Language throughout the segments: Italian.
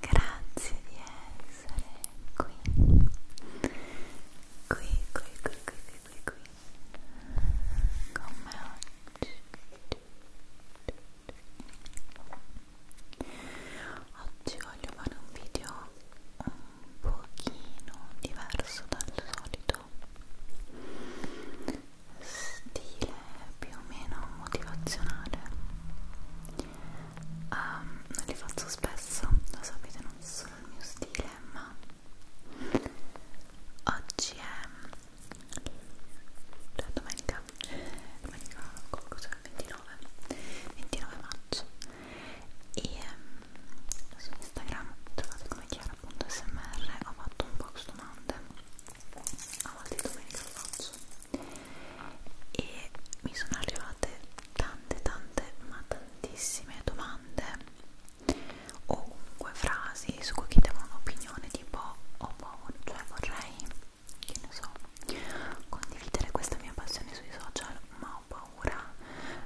Grazie di essere qui. Qui, qui, qui, qui, qui, qui, qui. Come oggi. Oggi voglio fare un video un pochino diverso dal solito stile più o meno motivazionale um, non li faccio spesso, lo sapete non sono il mio stile ma oggi è cioè domenica domenica cioè 29 29 maggio e um, su Instagram trovate come chiara.smr ho fatto un box domande a volte domenica lo faccio e mi sono arrivate tante tante ma tantissime domande o comunque frasi su cui chiedevo un'opinione tipo oh, boh, cioè vorrei che ne so condividere questa mia passione sui social ma ho paura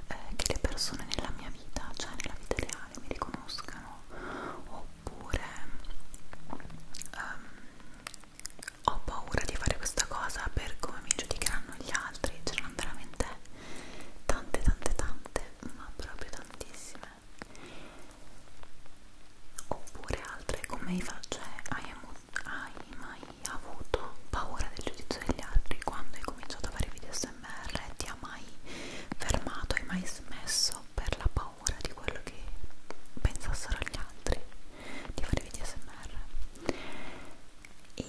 eh, che le persone nella mia vita cioè nella vita reale mi riconoscano oppure um, ho paura di fare questa cosa per come mi giudicheranno gli altri c'erano veramente tante tante tante ma proprio tantissime oppure altre come faccio hai, hai mai avuto paura del giudizio degli altri quando hai cominciato a fare video smr ti ha mai fermato hai mai smesso per la paura paura di quello che pensassero gli altri di fare video smr e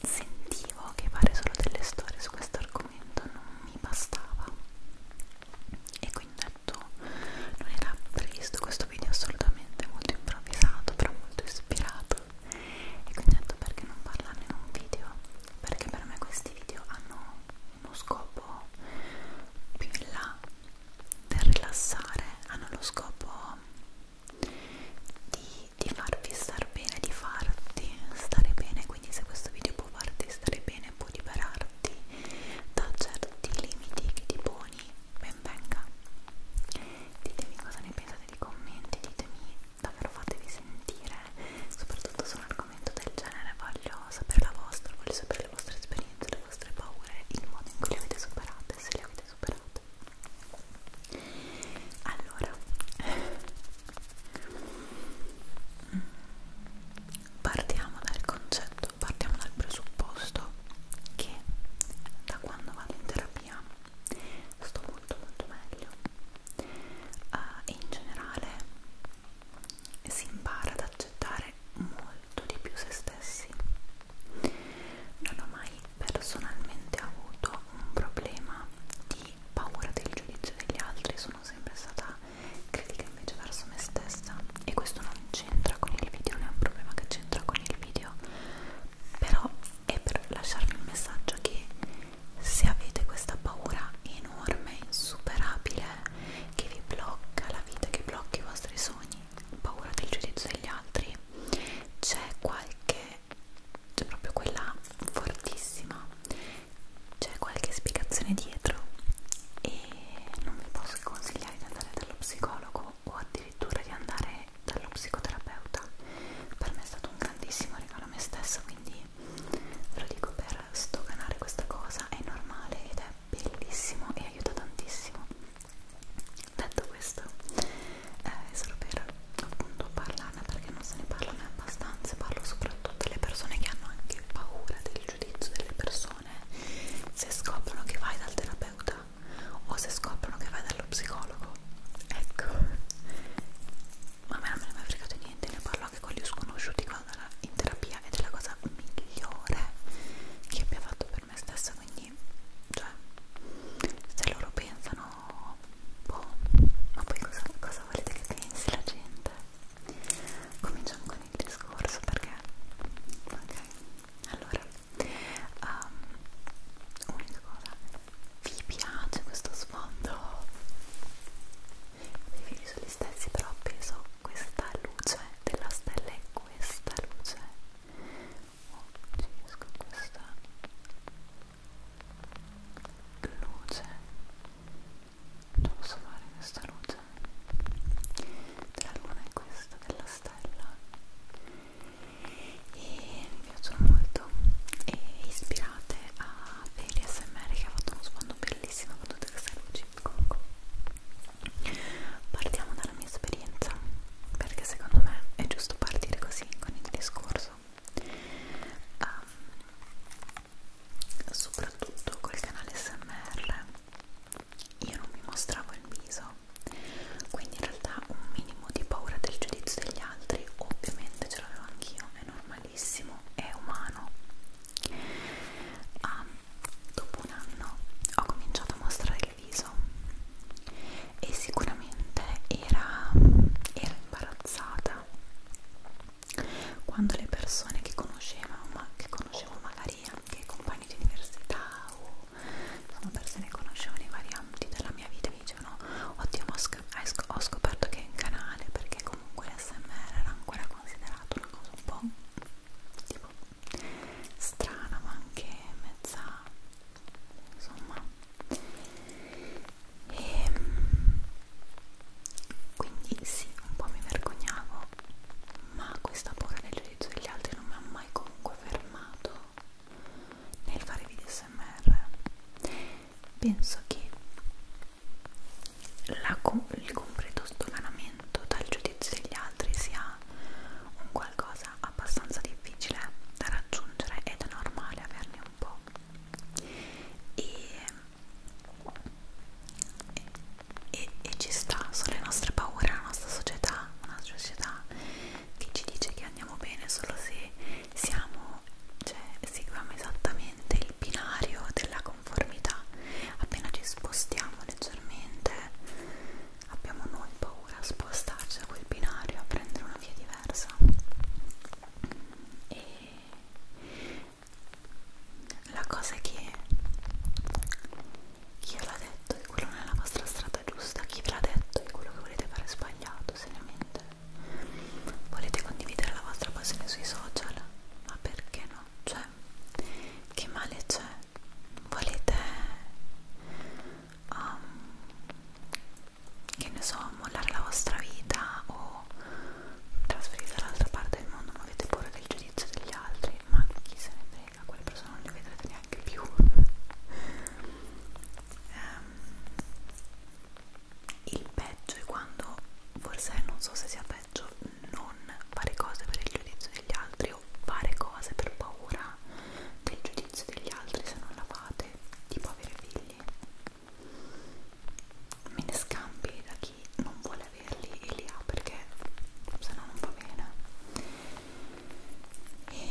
sentivo che fare solo delle storie su questo argomento non mi bastava e quindi ho detto non era previsto questo video assolutamente molto improvvisato però molto ispirato e quindi ho detto perché non parlarne in un video perché per me questi video hanno uno scopo più in là del rilassare, hanno lo scopo di, di farvi star bene, di farti stare bene, quindi se questo video può farti stare bene, può liberarti da certi limiti che ti poni, ben venga. Ditemi cosa ne pensate nei commenti, ditemi davvero fatevi sentire, soprattutto su un argomento argomento del genere, voglio sapere la vostra, voglio sapere le vostre esperienze, le vostre paure, il modo in cui le avete superate, se le avete superate. Allora, partiamo dal concetto, partiamo dal presupposto che da quando vado in terapia sto molto molto meglio uh, e in generale si impara ad accettare molto di più se stessi. Non ho mai personalmente avuto un problema di paura del giudizio degli altri, sono sempre stata critica invece verso me stessa e questo non c'entra con il video, non è un problema che c'entra con il video, però è per lasciarvi un messaggio che se avete questa paura enorme, insuperabile che vi blocca la vita, che blocca i vostri sogni, paura del giudizio degli altri, c'è qualche, c'è proprio quella fortissima, c'è qualche spiegazione dietro e non vi posso consigliare di andare dallo psicologo o addirittura di andare dallo psicoterapeuta. Per me è stato un grandissimo regalo a me stessa, quindi ve lo dico per per stoganare questa cosa è normale ed è bellissimo e aiuta tantissimo detto questo è eh, solo per appunto parlarne perché non se ne parlano abbastanza parlo soprattutto alle persone che hanno anche paura del giudizio delle persone se scoprono che vai dal terapeuta o se scoprono che vai dallo psicologo ecco ma a me non me ne è mai fregato niente ne parlo a che con gli sconosciuti quando era in terapia ed è la cosa migliore che abbia fatto per me stessa quindi cioè se loro pensano boh ma poi cosa, cosa volete che pensi la gente cominciamo con il discorso perché ok allora um, unica cosa vi piace questo sfondo i fili sono gli stessi però appeso questa luce della stella e questa luce oh, ci riesco questa luce non posso fare questa luce della luna e questa della stella e mi piacciono molto e ispirate a Feli SMR che ha fatto uno sfondo bellissimo bellissima battuta che stai lucida comunque partiamo dalla mia esperienza perché secondo me è giusto partire così con il discorso um, soprattutto col canale SMR io non mi mostravo il viso quindi in realtà un minimo di paura del giudizio degli altri ovviamente ce l'avevo anch'io è normale normalissimo e umano. Ah, dopo un anno ho cominciato a mostrare il viso e sicuramente era, era imbarazzata quando le persone che conoscevo, ma che conoscevo magari anche compagni di università o sono persone che conoscevo nei vari ambiti della mia vita mi dicevano oddio ho scoperto che è in canale perché comunque cui l'SMR era ancora considerato una cosa un po' tipo strana ma anche mezza insomma e ehm, quindi sì un po' mi vergognavo ma questa paura del giudizio degli altri non mi ha mai comunque fermato nel fare video smr penso che la, il completo sdoganamento dal giudizio degli altri sia un qualcosa abbastanza difficile da raggiungere ed è normale averne un po' e, e, e ci sta, sono le nostre paure, la nostra società, una società che ci dice che andiamo bene solo se siamo, cioè seguiamo esattamente il binario della, conformità appena ci spostiamo leggermente abbiamo noi paura a spostarci da quel binario a prendere una via diversa e la cosa è che chi ve l'ha detto che quello non è la vostra strada giusta chi ve l'ha detto che quello che volete fare è sbagliato seriamente volete condividere la vostra passione sui social ma perché no? Cioè, che male c'è? Volete, um, che ne so, mollare la vostra vita o trasferirvi dall'altra parte del mondo? Ma avete paura del giudizio degli altri? Ma chi se ne frega? Quelle persone non le vedrete neanche più. um, il peggio è quando forse non so se sia peggio non fare cose per il giudizio degli altri o fare cose per paura del giudizio degli altri se non la fate tipo avere figli me ne scampi da chi non vuole averli e li ha perché se no non va bene e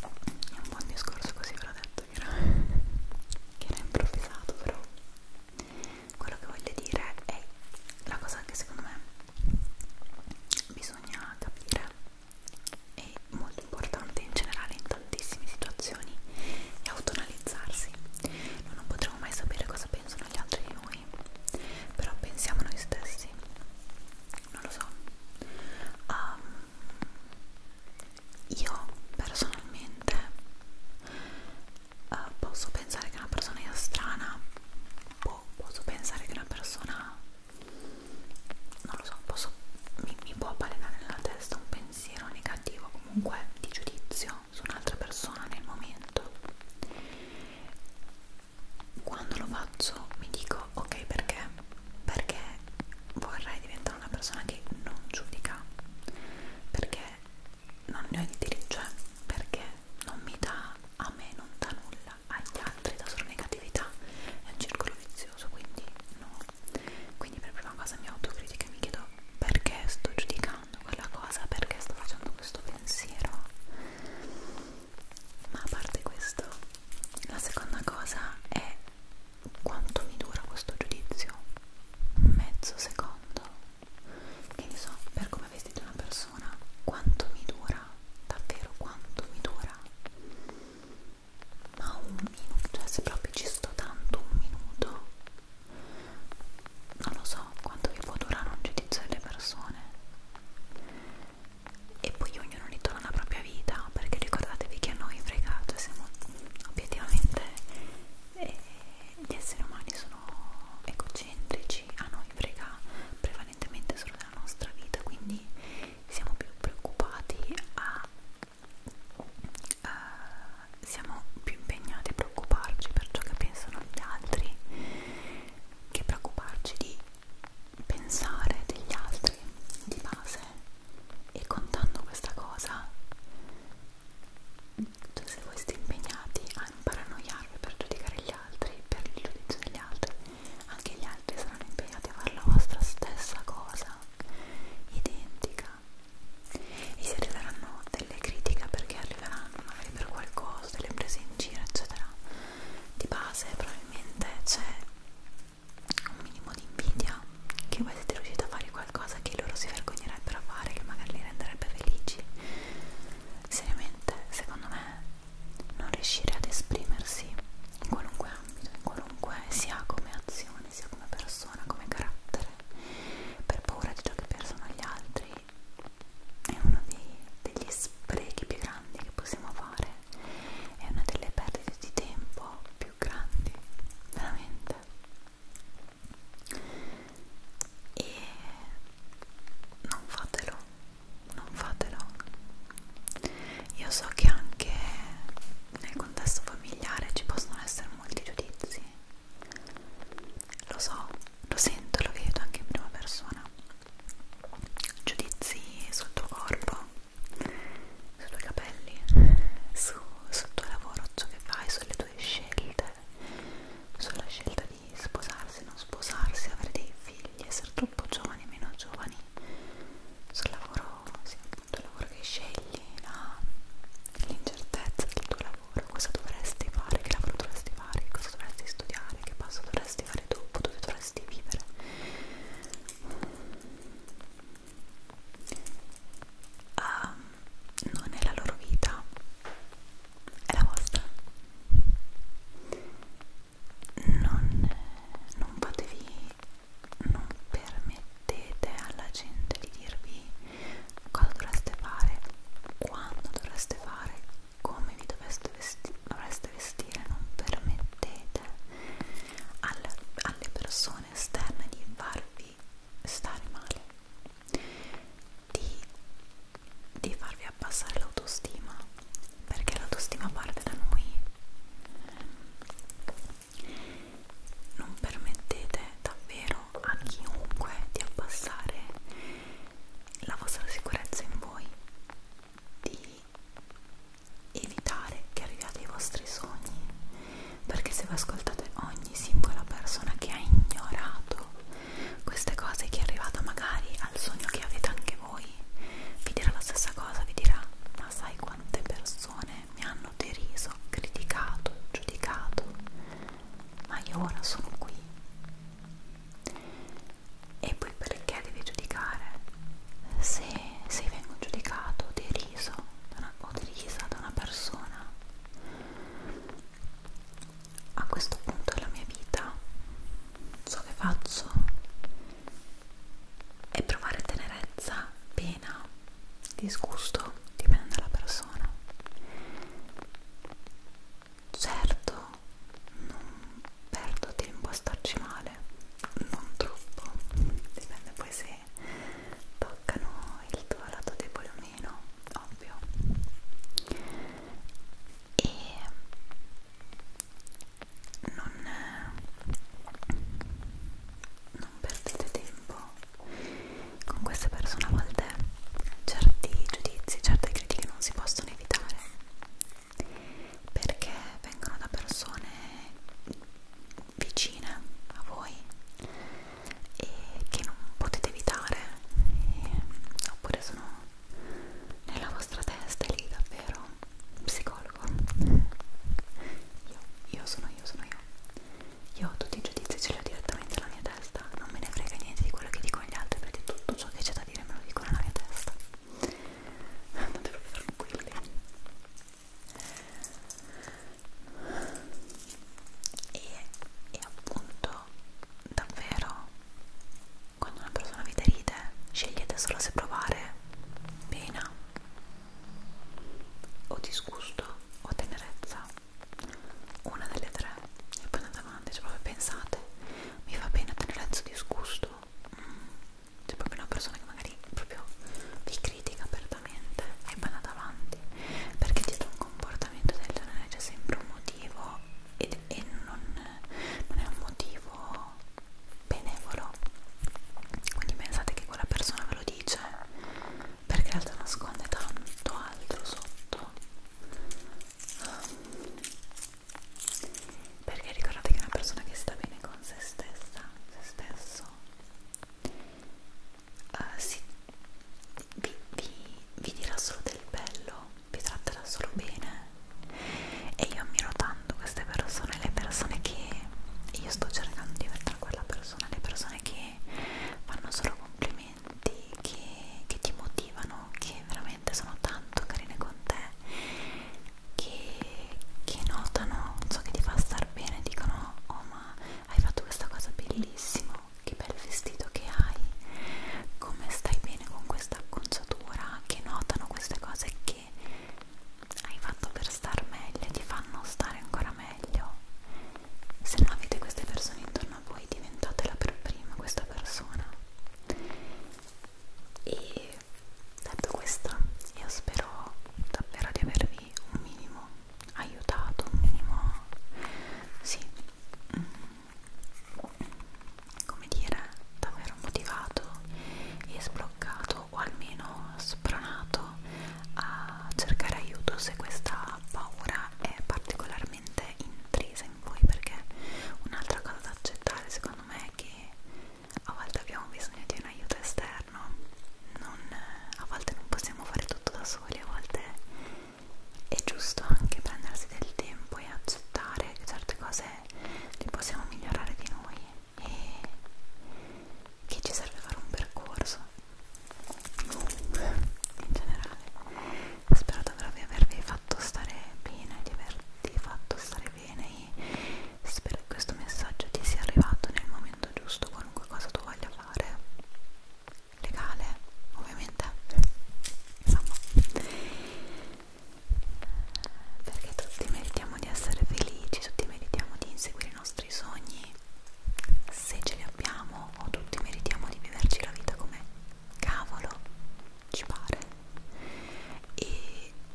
è un buon discorso così ve l'ho detto che era, che era improvvisato però quello che voglio dire è la cosa che secondo me bisogna capire è molto importante in generale in tantissime situazioni è autonalizzarsi noi non potremo mai sapere cosa pensano gli altri di noi però pensiamo noi stessi non lo so um, io personalmente eh, posso pensare che una persona sia strana o boh, posso pensare che una persona non lo so posso, mi, mi può balenare nella testa un pensiero negativo comunque di giudizio su un'altra persona nel momento quando lo faccio mi dico ok perché perché vorrei diventare da una persona che non giudica perché non ne ho il diritto, cioè perché non mi dà a me, non dà nulla agli altri, dà solo negatività, è un circolo vizioso, quindi no. Quindi per prima cosa mi autocritica e mi chiedo perché sto giudicando quella cosa, perché sto facendo questo pensiero. Ma a parte questo, la seconda cosa è quanto mi dura questo giudizio? Mezzo secondo? Che ne so, per come è vestita una persona, quanto mi dura? Davvero quanto mi dura? Ma un minuto, cioè se proprio ci sto tanto un minuto, non lo so quanto vi può durare un giudizio delle persone. E poi ognuno ritorna alla propria vita, perché ricordatevi che a noi frega, cioè siamo obiettivamente e gli esseri umani sono egocentrici, a noi frega prevalentemente solo della nostra vita, quindi siamo più preoccupati a Uh, siamo più impegnati a preoccuparci per ciò che pensano gli altri che preoccuparci di pensare degli altri di base e contando questa cosa cioè se voi siete impegnati a imparanoiarvi per giudicare gli altri, per il giudizio degli altri, anche gli altri saranno impegnati a fare la vostra stessa cosa, identica. E se arriveranno delle critiche perché arriveranno magari per qualcosa, delle prese in giro, eccetera, di base probabilmente c'è un minimo di invidia che voi siete riusciti a fare qualcosa che loro si vergognerebbero a fare, che magari li renderebbe felici. Seriamente, secondo me, non riuscire ad esprimersi in qualunque ambito, in qualunque sia come azione, sia come persona, come carattere, per paura di ciò che pensano gli altri, è uno dei, degli sprechi più grandi che possiamo fare, è una delle perdite di tempo più grandi, veramente e non fatelo, non fatelo. Io so che anche nel contesto familiare ci possono essere molti giudizi, lo so, lo sento, lo vedo anche in prima persona. Giudizi sul tuo corpo, sui tuoi capelli, su, sul tuo lavoro, ciò che fai, sulle tue scelte, sulla scelta di sposarsi, non sposarsi, avere dei figli, essere troppo giovani, meno giovani, sul lavoro, sì, appunto il lavoro che scegli, l'incertezza del tuo lavoro, cosa dovresti fare, che lavoro dovresti fare, cosa dovresti studiare, che passo dovresti fare dopo, dove dovresti vivere um, non è la loro vita, è la vostra. Non, non fatevi, non permettete alla gente di dirvi cosa dovreste fare, quando dovreste fare, come vi vesti dovreste vestire, non permettete alle, alle persone esterne di farvi di stare male, di, di farvi abbassare l'autostima, perché l'autostima parte da noi. Non permettete davvero a chiunque di abbassare la vostra sicurezza in voi, di evitare che arriviate ai vostri sogni perché se vi ascoltate ogni singola persona che ha ignorato queste cose che è arrivata magari al sogno che avete anche voi vi dirà la stessa cosa, vi dirà ma sai quante persone mi hanno deriso, criticato, giudicato ma io ora sono qui e poi perché devi giudicare? se, se vengo giudicato, deriso una, utilizza da una persona a questo punto della mia vita ciò che faccio è provare tenerezza, pena, disgusto, dipende dalla persona certo non perdo tempo a starci male non troppo dipende poi se toccano il tuo lato debole o meno, ovvio. E non, non perdete tempo con queste persone, a volte certi giudizi, certe critiche non si possono evitare perché vengono da persone vicine a voi e che non potete evitare e, oppure sono nella vostra testa lì davvero psicologo io, io sono io sono io io ho tutti i giudizi ce li ho direttamente alla mia testa non me ne frega niente di quello che dicono gli altri perché tutto ciò che c'è da dire me lo dicono alla mia testa andate proprio tranquilli e, e appunto davvero quando una persona vi deride scegliete solo se provare pena o disgusto o tenerezza una delle tre e poi andate avanti cioè proprio pensate mi fa pena tenerezza o disgusto mm, c'è proprio una persona che magari proprio vi critica apertamente e va davanti perché dietro un comportamento del genere c'è sempre un motivo ed, e non, non è un motivo benevolo quindi pensate che quella persona ve lo dice perché in realtà nasconde tanto altro sotto perché ricordate che una persona che sta bene con se stessa se stesso uh, sì, vi, vi, vi dirà solo del bello, vi tratterà solo bene e io ammiro tanto queste persone, le persone che io sto cercando di diventare quella persona, le persone che fanno solo complimenti, che, che ti motivano, che veramente sono tanto carine con te, che che notano ciò che ti fa star bene dicono oh ma hai fatto questa cosa bellissima che bel vestito che hai come stai bene con questa acconciatura che notano queste cose che hai fatto per star meglio ti fanno stare ancora meglio se non avete queste persone intorno a voi diventatela per prima questa persona e detto questo io spero davvero di avervi quindi un minimo aiutato, un minimo sì, mm, come dire, davvero motivato e sbloccato o almeno spronato a cercare aiuto se questa paura è particolarmente intrisa in voi perché un'altra cosa da accettare secondo me è che a volte abbiamo bisogno di un aiuto esterno, non, a volte non possiamo fare tutto da soli, a volte è giusto anche prendersi del tempo e accettare che certe cose le possiamo migliorare di noi e che ci serve fare un percorso. Comunque, in generale, spero di avervi fatto stare bene, di avervi fatto stare bene e spero che questo messaggio ti sia arrivato nel momento giusto, qualunque cosa tu voglia fare, legale ovviamente, insomma, perché tutti meritiamo di essere felici, tutti meritiamo di inseguire i nostri sogni se ce li abbiamo o tutti meritiamo di viverci la vita come cavolo ci pare e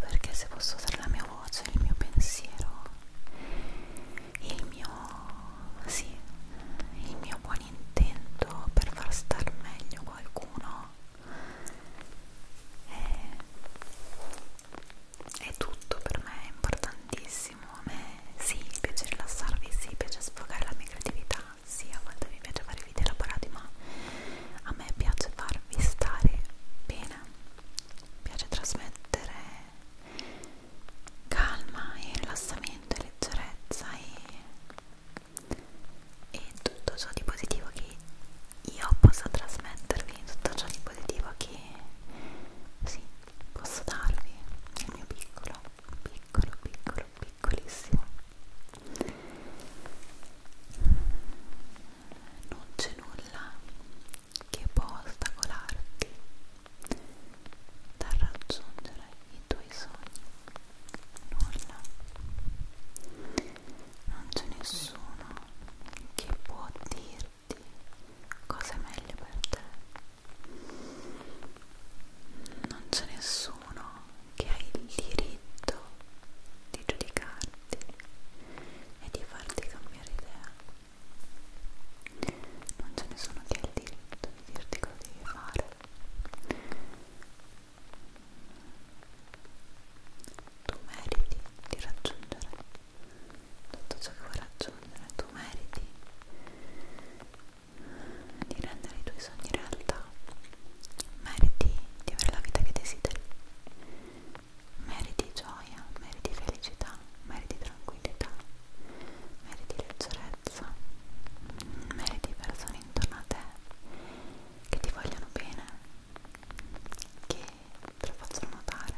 perché se posso usare la mia voce, il mio pensiero, il mio sì, il mio buon intento per far star meglio qualcuno è, eh, è tutto per me, è importantissimo. A me sì, piace rilassarvi, sì, piace sfogare la mia creatività, sì a volte mi piace fare video elaborati ma a me piace farvi stare bene mi piace trasmettere calma e rilassamento e leggerezza e, e tutto ciò di positivo che io possa trasmettervi tutto ciò di positivo che sì, posso darvi il mio piccolo piccolo piccolo piccolissimo non c'è nulla che può ostacolarti dal raggiungere i tuoi sogni nulla non c'è nessuno che può dirti cosa è meglio per te non c'è nessuno nessuno che ha il diritto di giudicarti e di farti cambiare idea non c'è nessuno che ha il diritto di dirti cosa devi fare tu meriti di raggiungere tutto ciò che vuoi raggiungere tu meriti di rendere i tuoi sogni realtà. Meriti di avere la vita che desideri. Meriti gioia, meriti felicità, meriti tranquillità, meriti leggerezza, meriti persone intorno a te che ti vogliono bene, che te lo facciano notare.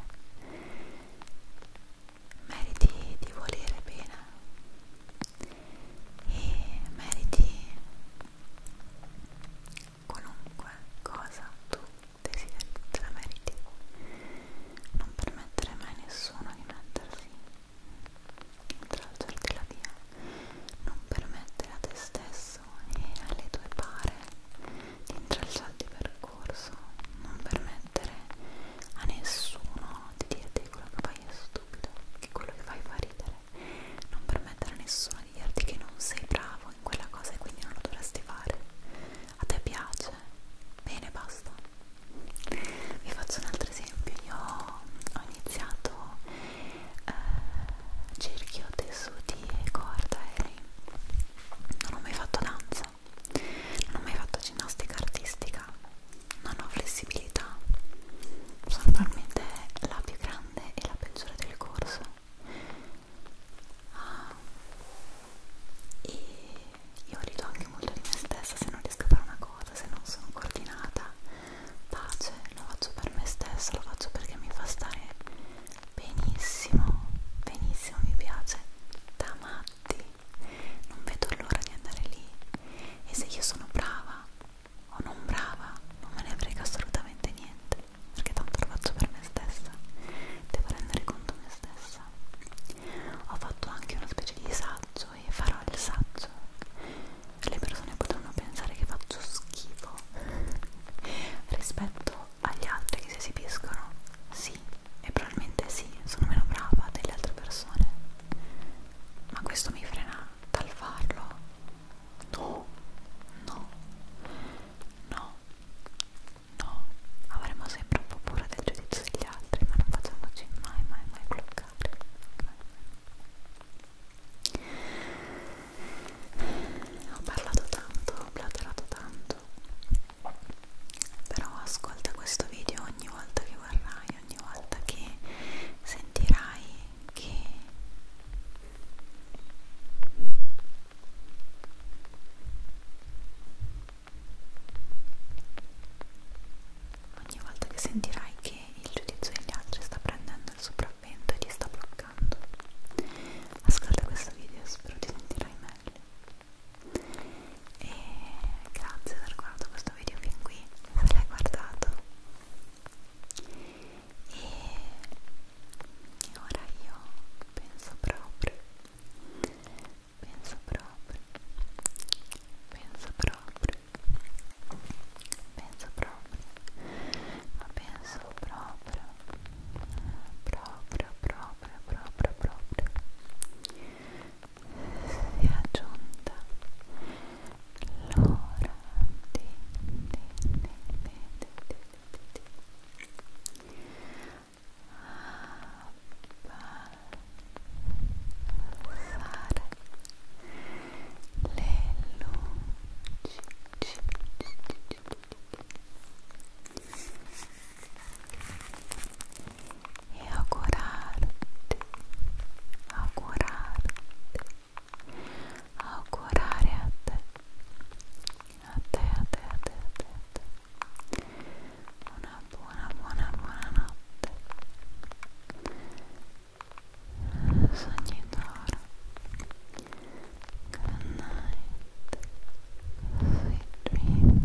Meriti di volere bene e meriti qualunque cosa tu desideri, te la meriti non permettere mai a nessuno di mettersi tracciarti la via non permettere a te stesso e alle tue pare di intralciarti il percorso non permettere a nessuno di dirti che quello che fai è stupido che quello che fai fa ridere non permettere a nessuno di dirti che non sei bravo in quella cosa e quindi non lo dovresti fare. A te piace? Bene, basta. Vi faccio un altro esempio. Io ho iniziato eh, cerchio, tessuti e corda e non ho mai fatto danza, non ho mai fatto ginnastica artistica non ho flessibilità sono probabilmente la più grande e la peggiore del corso ah, e io rido anche molto di me stessa se non riesco a fare una cosa se non sono coordinata pace, lo faccio per me stessa lo faccio perché mi fa stare benissimo benissimo, mi piace da matti non vedo l'ora di andare lì e se io sono brava o oh, non brava, non me ne frega assolutamente niente, perché tanto lo faccio per me stessa, devo rendere conto me stessa. Ho fatto anche una specie di saggio e farò il saggio. Le persone potranno pensare che faccio schifo rispetto agli altri che si esibiscono, sì, e probabilmente sì, sono meno brava delle altre persone, ma questo mi frena dal farlo no no no no avremo sempre un po' paura del giudizio degli altri ma non facciamoci mai mai mai bloccare ho parlato tanto ho blatterato tanto però ascolta questo video ogni volta che vorrai ogni volta che sentirai che ogni volta che sentirai che il giudizio degli altri sta prendendo il sopravvento e ti sta bloccando ascolta questo video spero ti sentirai meglio e grazie per guardato questo questo video fin qui, se l'hai guardato e ora io penso proprio penso proprio penso proprio penso proprio ma penso proprio proprio proprio proprio proprio sia giunta l'ora di, di, di, di, di, di, di abbassare le luci ci, ci, ci, ci, ci e augurarti, augurarti, augurare a te, a te, a te, a te, a te, a te. una buona, buona, buona notte, sogni d'oro, good night, sweet dreams.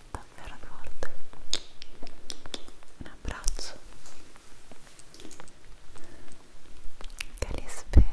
macchinetta per forte un abbraccio che li spera